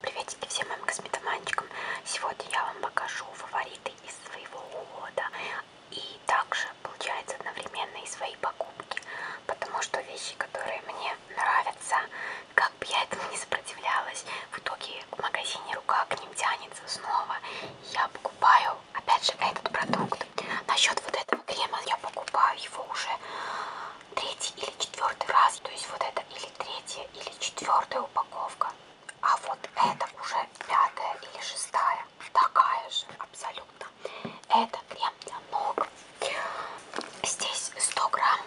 Приветики всем моим косметоманчикам! Сегодня я вам покажу фавориты из своего ухода и также, получается, одновременно и свои покупки, потому что вещи, которые мне нравятся, как бы я этому не сопротивлялась, в итоге в магазине рука к ним тянется снова, я покупаю, опять же, этот продукт. Насчет вот этого крема я покупаю его уже третий или четвертый раз. То есть вот это или третья, или четвертая упаковка. А вот это уже пятая или шестая. Такая же абсолютно. Это крем для ног. Здесь 100 грамм.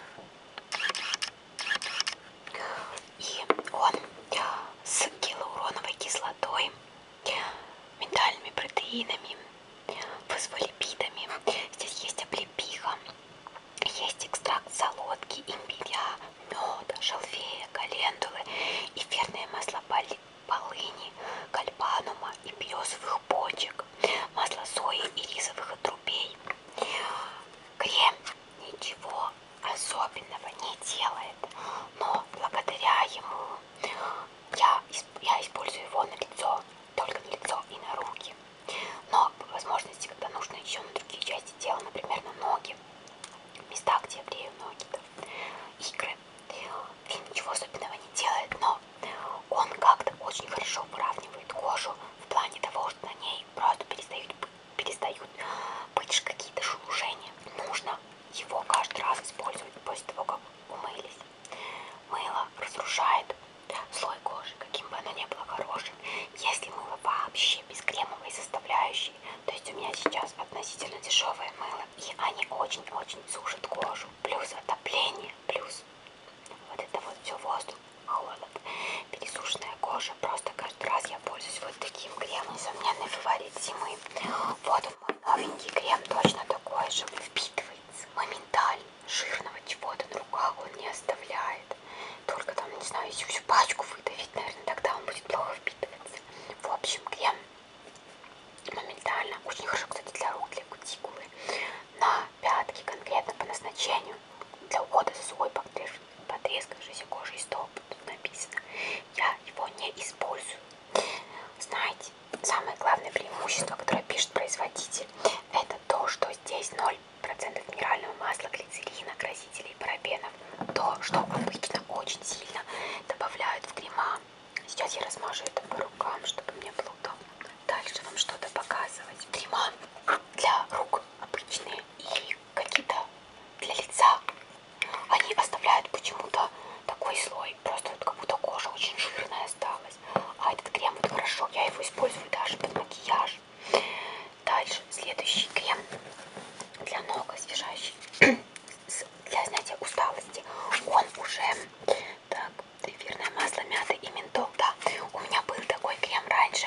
И он с гиалуроновой кислотой, миндальными протеинами, фосфолипидами. Здесь есть облепиха, есть экстракт солодки, имбиря, меда, шалфея, календулы, эфирные масла полыни, кальпанума и березовых почек, масло сои и рисовых отрубей. Крем ничего особенного не делает, но благодаря ему я, я использую его на лицо только на лицо и на руки. Но по возможности, когда нужно еще на другие части тела, например, на ноги, места, где брею ноги, там, игры. Фильм ничего особенного не делает, но он как-то очень хорошо выравнивает кожу в плане того, что на ней просто перестают, перестают быть какие-то шелушения. Нужно его каждый раз использовать после того, как умылись. Мыло разрушает слой кожи, каким бы оно ни было хорошим. Если мыло вообще без кремовой составляющей, то есть у меня сейчас относительно дешевые мыло, и они очень-очень сушат кожу. Плюс отопление, плюс вот это вот все воздух, холод, пересушенная кожа. Просто каждый раз я пользуюсь вот таким кремом, несомненно, фаворит зимы. Вот он вот новенький крем точно такой же, впитывается моментально. Жирного чего-то на руках он не оставляет. Только там, не знаю, если всю пачку выдавить, наверное, тогда он будет плохо впитываться. В общем, крем моментально. Очень хорошо, кстати, для рук, для кутикулы. На пятки конкретно по назначению. Для ухода за свой потрескавшейся кожей столб тут написано. Я его не использую. Знаете, кстати, самое главное преимущество, которое пишет производитель, это то, что здесь 0% минерального масла, глицерина, красителей и парабенов. То, что обычно очень сильно добавляют в крема. Сейчас я размажу это по рукам, чтобы мне было удобно. Дальше вам что-то показывать. Крема для рук обычные и какие-то для лица они оставляют почему-то такой слой, просто вот как будто кожа очень жирная осталась. А этот крем вот хорошо, я его использую даже под макияж. Дальше следующий крем для ног освежающий для снятия усталости. Он уже так эфирное масло мяты и ментол. Да, у меня был такой крем раньше,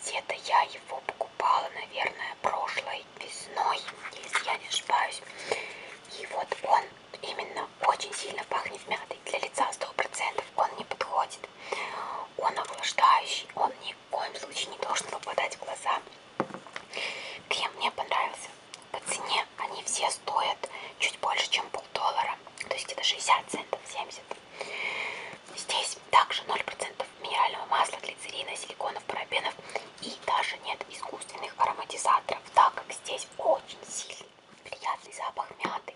где-то я его покупала, наверное, прошлое белой весной, если я не ошибаюсь. И вот он именно очень сильно пахнет мятой. Для лица 100% он не подходит. Он охлаждающий, он ни в коем случае не должен попадать в глаза. Крем мне понравился. По цене они все стоят чуть больше, чем полдоллара. То есть это 60 центов, 70. Здесь также 0% минерального масла, глицерина, силиконов, парабенов и даже нет искусственных ароматизаторов, так как здесь очень сильный приятный запах мяты.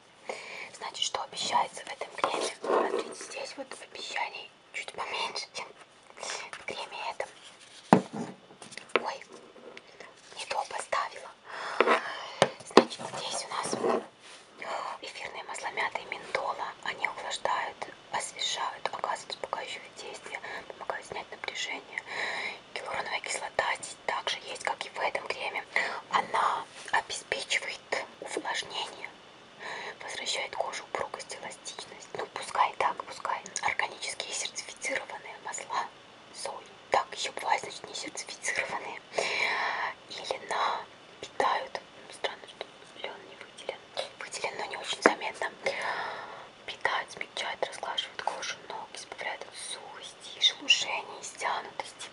Значит, что обещается в этом креме? Смотрите, а здесь вот обещаний чуть поменьше, чем в креме этом. Ой, не то поставила. Значит, здесь у нас эфирные масла мяты и ментола. Они увлаждают освежают, оказывают успокаивающее действие, помогают снять напряжение. Гиалуроновая кислота здесь также есть, как и в этом креме. Она обеспечивает увлажнение, возвращает кожу упругость, эластичность. Ну, пускай так, пускай. Органические сертифицированные масла сои. Так еще бывает, значит, не сертифицированные. Или на питают. Странно, что лен не выделен. Выделен, но не очень заметно. Питают, смягчают, разглаживают кожу ног, избавляют от сухости, шелушения, стянутости.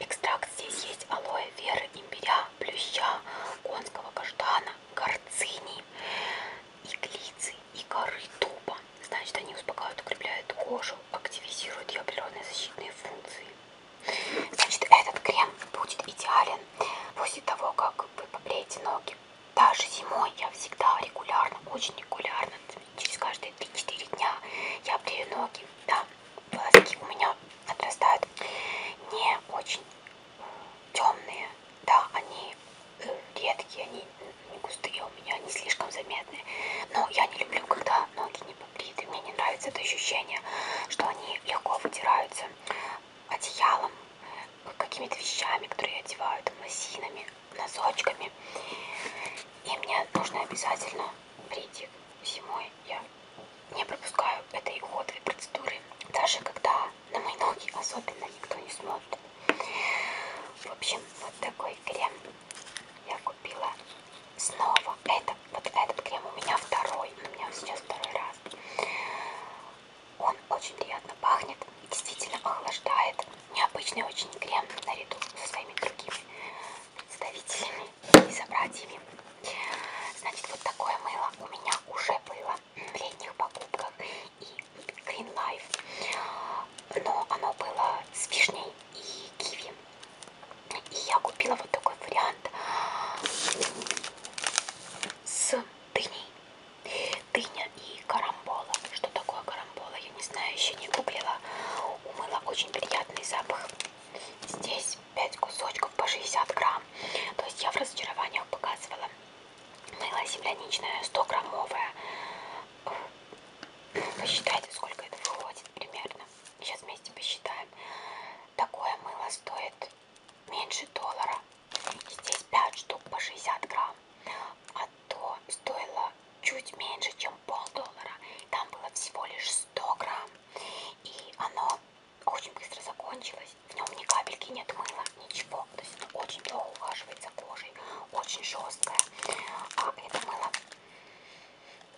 Экстракт здесь есть алоэ веры, имбиря, плюща, конского каштана, горцини, иглицы и коры дуба. Значит, они успокаивают, укрепляют кожу, активизируют ее природные защитные функции. Значит, этот крем будет идеален после того, как вы побреете ноги. Даже зимой я всегда регулярно, очень регулярно, через каждые 3-4 дня я брею ноги. Да, волоски у меня отрастают не очень темные, да, они э, редкие, они не густые у меня, не слишком заметные. Но я не люблю, когда ноги волосы не побриты. Мне не нравится это ощущение, что они легко вытираются одеялом, какими-то вещами, которые одевают, лосинами, носочками. И мне нужно обязательно брить их зимой. Я не пропускаю этой уходовой процедуры, даже когда на мои ноги особенно никто не смотрит. В общем, вот такой крем я купила снова это, вот этот крем у меня второй, у меня сейчас второй раз. Он очень приятно пахнет, действительно охлаждает. Необычный очень крем наряду со своими другими представителями и собратьями. Значит, вот такое мыло у меня уже было в летних покупках и Green Life. Но оно было с вишней и киви. И я купила вот такой вариант с дыней. Дыня и карамбола. Что такое карамбола, я не знаю, еще не гуглила. Умыла очень приятный запах. Здесь 5 кусочков по 60 грамм. То есть я в разочарованиях показывала. Мыло земляничное 100 граммовое. Посчитайте, сколько это выходит примерно. Сейчас вместе посчитаем. Такое мыло стоит меньше доллара. Здесь 5 штук по 60 грамм. А то стоило чуть меньше, чем полдоллара. Там было всего лишь 100 грамм. И оно очень быстро закончилось. В нем ни капельки нет мыла, ничего. То есть оно очень плохо ухаживает за кожей кожей, очень жесткая. А это мыло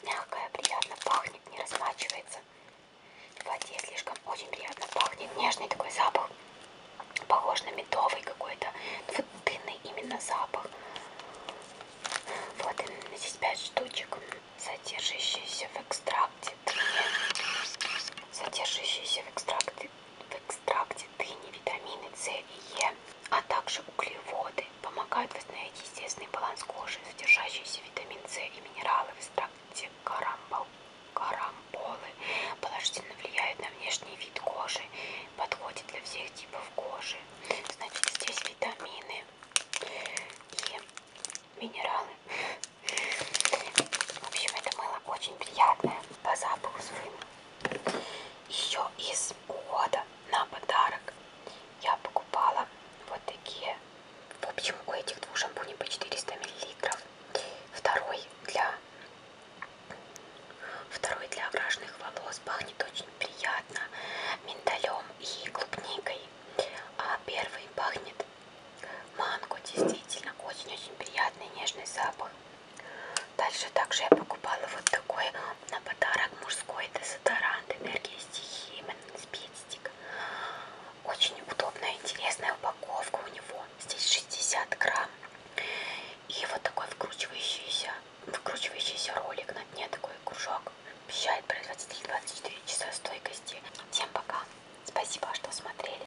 мягкое, приятно пахнет, не размачивается. В воде слишком очень приятно пахнет, нежный такой запах, похож на медовый какой-то, ну, вот дынный именно запах. Вот здесь 5 штучек, содержащиеся в экстракте содержащиеся в экстракте, в экстракте дыни, витамины С и Е, а также углеводы помогают восстановить естественный баланс кожи, содержащийся витамин С и минералы в экстракте карамбол, карамболы, положительно влияют на внешний вид кожи, подходит для всех типов кожи. Значит, здесь витамины и минералы. В общем, это мыло очень приятное по запаху своему. Еще из ухода на подарок я покупала вот такие. В общем, у этих двух шампуней по 400 мл. Второй для, второй для крашенных волос пахнет очень приятно миндалем и клубникой. А первый пахнет манго, действительно очень-очень приятный нежный запах. Дальше также я покупала вот такой на подарок мужской дезодорант энергии стихии спидстик. Очень удобная, интересная упаковка у него. Здесь 60 грамм. И вот такой вкручивающийся, вкручивающийся ролик на дне, такой кружок. Обещает производитель 24 часа стойкости. Всем пока. Спасибо, что смотрели.